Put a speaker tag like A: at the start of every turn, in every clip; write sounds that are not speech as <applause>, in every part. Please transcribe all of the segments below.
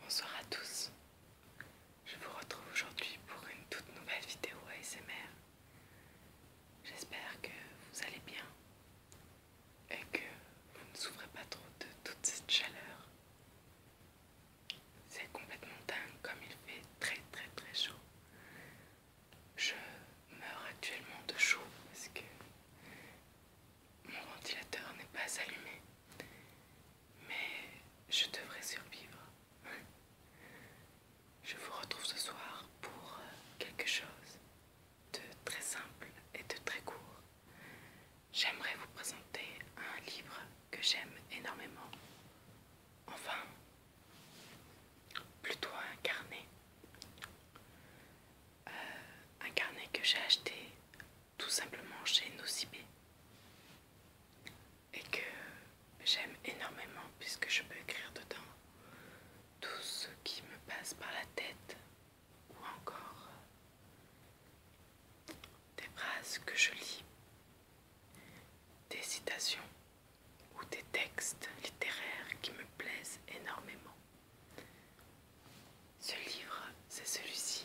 A: Bonsoir à tous, je vous retrouve aujourd'hui pour une toute nouvelle vidéo ASMR. J'espère que vous allez bien et que vous ne souffrez pas trop de toute cette chaleur. C'est complètement dingue comme il fait très très très chaud. Je meurs actuellement de chaud parce que mon ventilateur n'est pas allumé. Mais je devrais survivre. Je vous retrouve ce soir pour euh, quelque chose de très simple et de très court. J'aimerais vous présenter un livre que j'aime énormément. Enfin, plutôt un carnet. Euh, un carnet que j'ai acheté tout simplement chez Nosibé et que j'aime énormément puisque je peux écrire dedans tout ce qui me passe par la tête ou encore des phrases que je lis, des citations ou des textes littéraires qui me plaisent énormément. Ce livre, c'est celui-ci.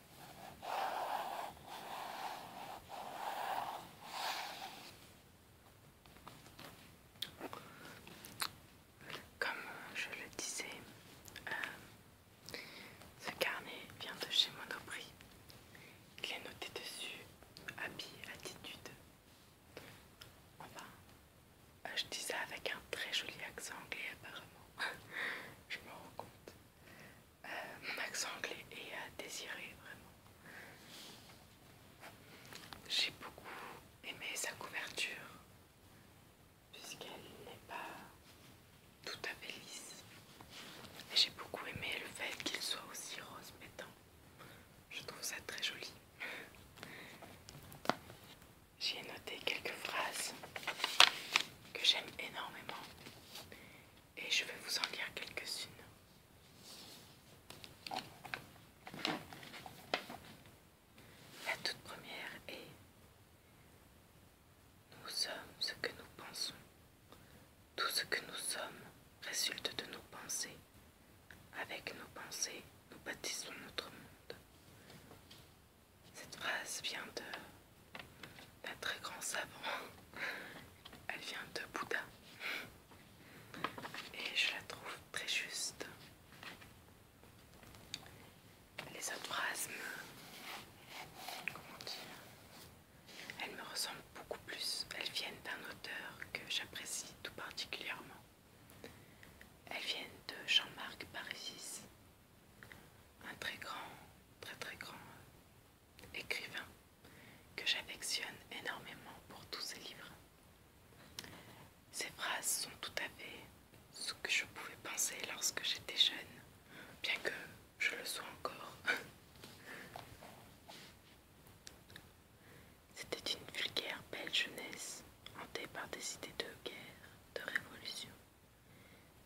A: Comme je le disais, euh, ce carnet vient de chez Monoprix. Il est noté dessus habit, attitude. Enfin, euh, je dis ça avec un très joli accent anglais apparemment. <laughs> je me rends compte. Euh, Max anglais est à désirer vraiment. J'ai beaucoup aimé sa couverture puisqu'elle n'est pas tout à fait lisse. j'ai beaucoup aimé le fait qu'il soit aussi rose pétant. Je trouve ça très joli. J'y ai noté quelques phrases que j'aime énormément et je vais vous en lire quelques-unes. La toute première est Nous sommes ce que nous pensons. Tout ce que nous sommes résulte de nos pensées. Avec nos pensées, nous bâtissons notre monde. Cette phrase vient de d'un très grand savant. Elle vient de Bouddha. Et je la trouve très juste. Les autres phrases me... Comment dire Elles me ressemblent beaucoup plus. Elles viennent d'un auteur que j'apprécie tout particulièrement. Elles viennent de Jean-Marc Parisis, un très grand, très très grand écrivain que j'affectionne énormément pour tous ces livres. Ces phrases sont tout à fait ce que je pouvais penser lorsque j'étais jeune, bien que je le sois encore. <laughs> C'était une vulgaire belle jeunesse, hantée par des idées de guerre, de révolution,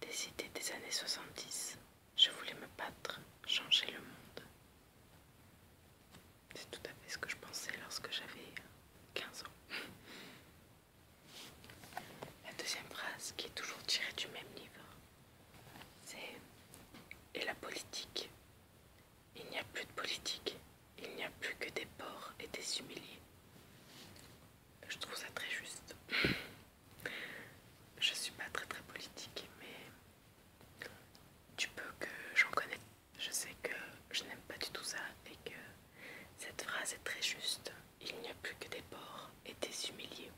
A: des idées des années 70, je voulais me battre, changer le monde. C'est tout à fait ce que je pensais lorsque j'avais 15 ans. <laughs> La deuxième phrase, qui est toujours tirée du même livre, c'est Et la politique Il n'y a plus de politique, il n'y a plus que des porcs et des humiliés. Je trouve ça très juste. <laughs> Je suis pas très très politique, mais tu peux que j'en connais. Je sais que je n'aime pas du tout ça et que cette phrase est très juste. Il n'y a plus que des porcs et des humiliés.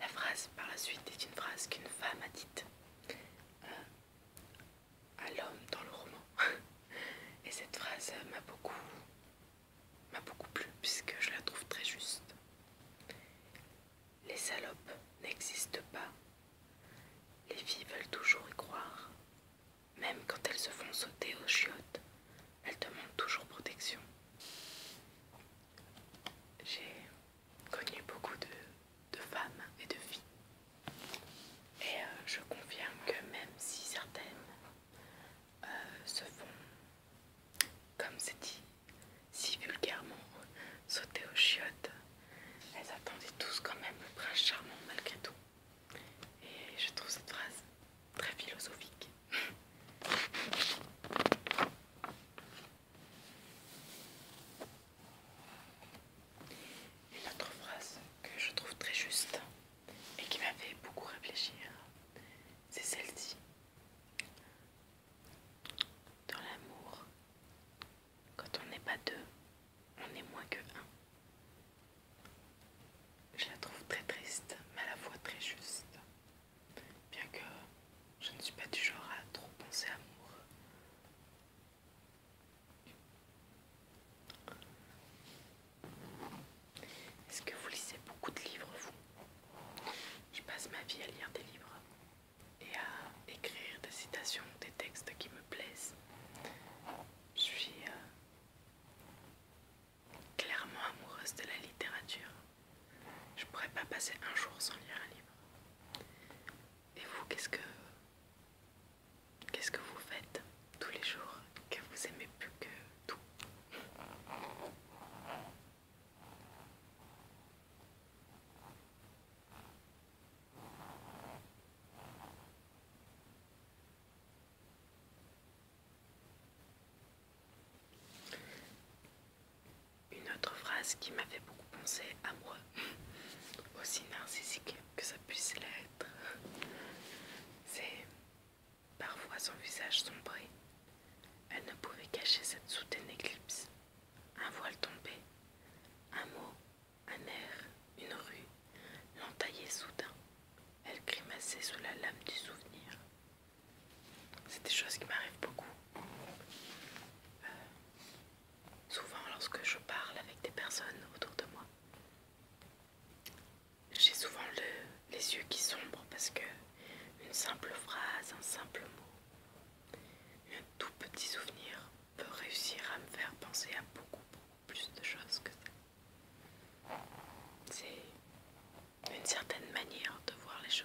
A: La phrase par la suite est une phrase qu'une femme a dite euh, à l'homme dans le roman. <laughs> Et cette phrase m'a beaucoup m'a beaucoup plu puisque je la trouve très juste. Les salopes n'existent pas. Les filles veulent toujours y croire. Même quand elles se font sauter aux chiottes, elles demandent toujours protection. J'ai connu beaucoup de, femmes et de filles. Et euh, je confirme que même si certaines euh, se font comme c'est dit si vulgairement, sauter aux chiottes, elles attendaient tous quand même le prince charmant malgré tout. Et je trouve cette phrase très philosophique. Une autre phrase que je trouve très juste et qui m'a fait beaucoup réfléchir, c'est celle-ci. Dans l'amour, quand on n'est pas deux, on est moins que un. Je la trouve très triste, mais à la fois très juste. Bien que je ne suis pas du genre à trop penser à l'amour. Est-ce que vous lisez beaucoup de livres, vous Je passe ma vie à lire des livres et à écrire des citations, des textes qui me plaisent. Je suis euh, clairement amoureuse de la littérature. Je ne pourrais pas passer un jour sans lire un livre. Et vous, qu'est-ce que qu'est-ce que vous faites tous les jours que vous aimez plus que tout une autre phrase qui m'a fait beaucoup penser à moi, <laughs> aussi narcissique que ça puisse l'être, c'est Parfois son visage sombré, Elle ne pouvait cacher cette soudaine éclipse. Un voile tombé, un mot, un air, une rue, l'entaillait soudain. Elle grimaçait sous la lame du souvenir. C'est des choses qui m'arrivent beaucoup. Euh, souvent lorsque je parle avec des personnes autour de moi j'ai souvent les yeux qui sombrent parce que une simple phrase, un simple mot, un tout petit souvenir peut réussir à me faire penser à beaucoup, beaucoup plus de choses que ça. C'est une certaine manière de voir les choses.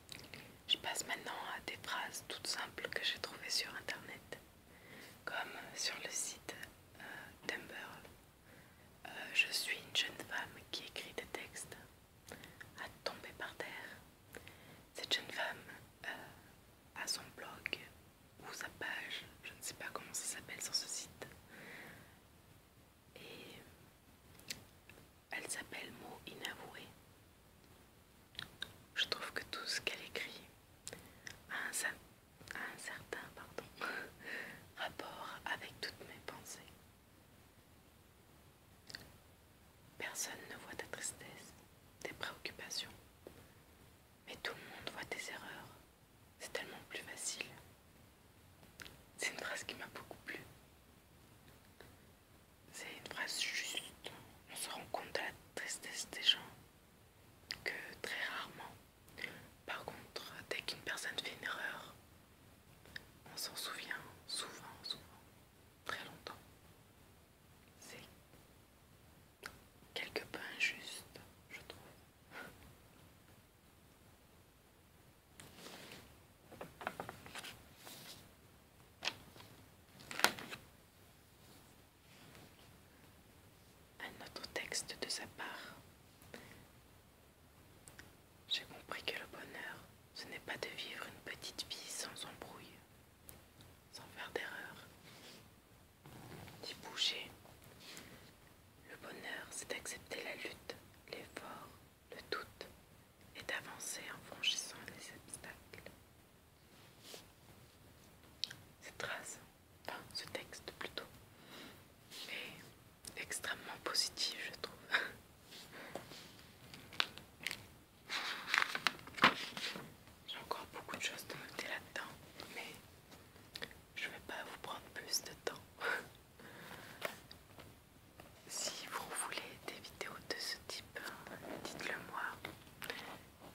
A: Je passe maintenant à des phrases toutes simples que j'ai trouvées sur internet, comme sur le site euh, Tumblr. Euh, je suis une jeune femme qui écrit des textes à tomber par terre. Cette jeune femme euh, a son blog ou sa page, je ne sais pas comment ça s'appelle sur ce site. Et elle s'appelle Mots Inavoué. Je trouve que tout ce qu'elle écrit a un, un certain pardon, <laughs> rapport avec toutes mes pensées. Personne ne voit ta tristesse, tes préoccupations, mais tout le monde voit tes erreurs. C'est tellement plus facile. C'est une phrase qui m'a beaucoup plu. C'est une phrase juste. On se rend compte de la tristesse des gens que très rarement. Par contre, dès qu'une personne fait une erreur, on s'en souvient souvent, souvent, très longtemps. C'est quelque peu injuste, je trouve. Un autre texte de sa part. J'ai compris que le bonheur, ce n'est pas de vivre une petite vie sans embrouille, sans faire d'erreurs, d'y bouger. Le bonheur, c'est d'accepter la lutte, l'effort, le doute est d'avancer en franchissant les obstacles. Cette trace, enfin ce texte plutôt, est extrêmement positif, je trouve. J'ai encore beaucoup de choses de noter là-dedans, mais je ne vais pas vous prendre plus de temps. Si vous voulez des vidéos de ce type, dites-le moi,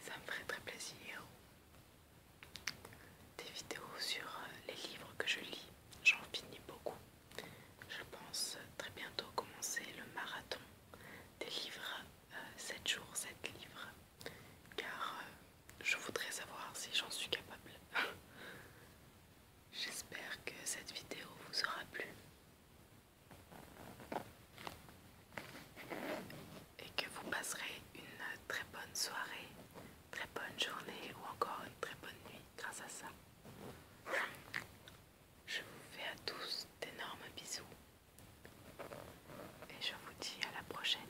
A: ça me ferait très plaisir. Des vidéos sur euh, les livres que je lis, j'en finis beaucoup. Je pense très bientôt commencer le marathon des livres 7 euh, jours, 7 livres, car euh, je voudrais savoir si j'en suis capable. <laughs> J'espère que cette vidéo vous aura plu et que vous passerez une très bonne soirée, très bonne journée ou encore une très bonne nuit grâce à ça. Je vous fais à tous d'énormes bisous et je vous dis à la prochaine.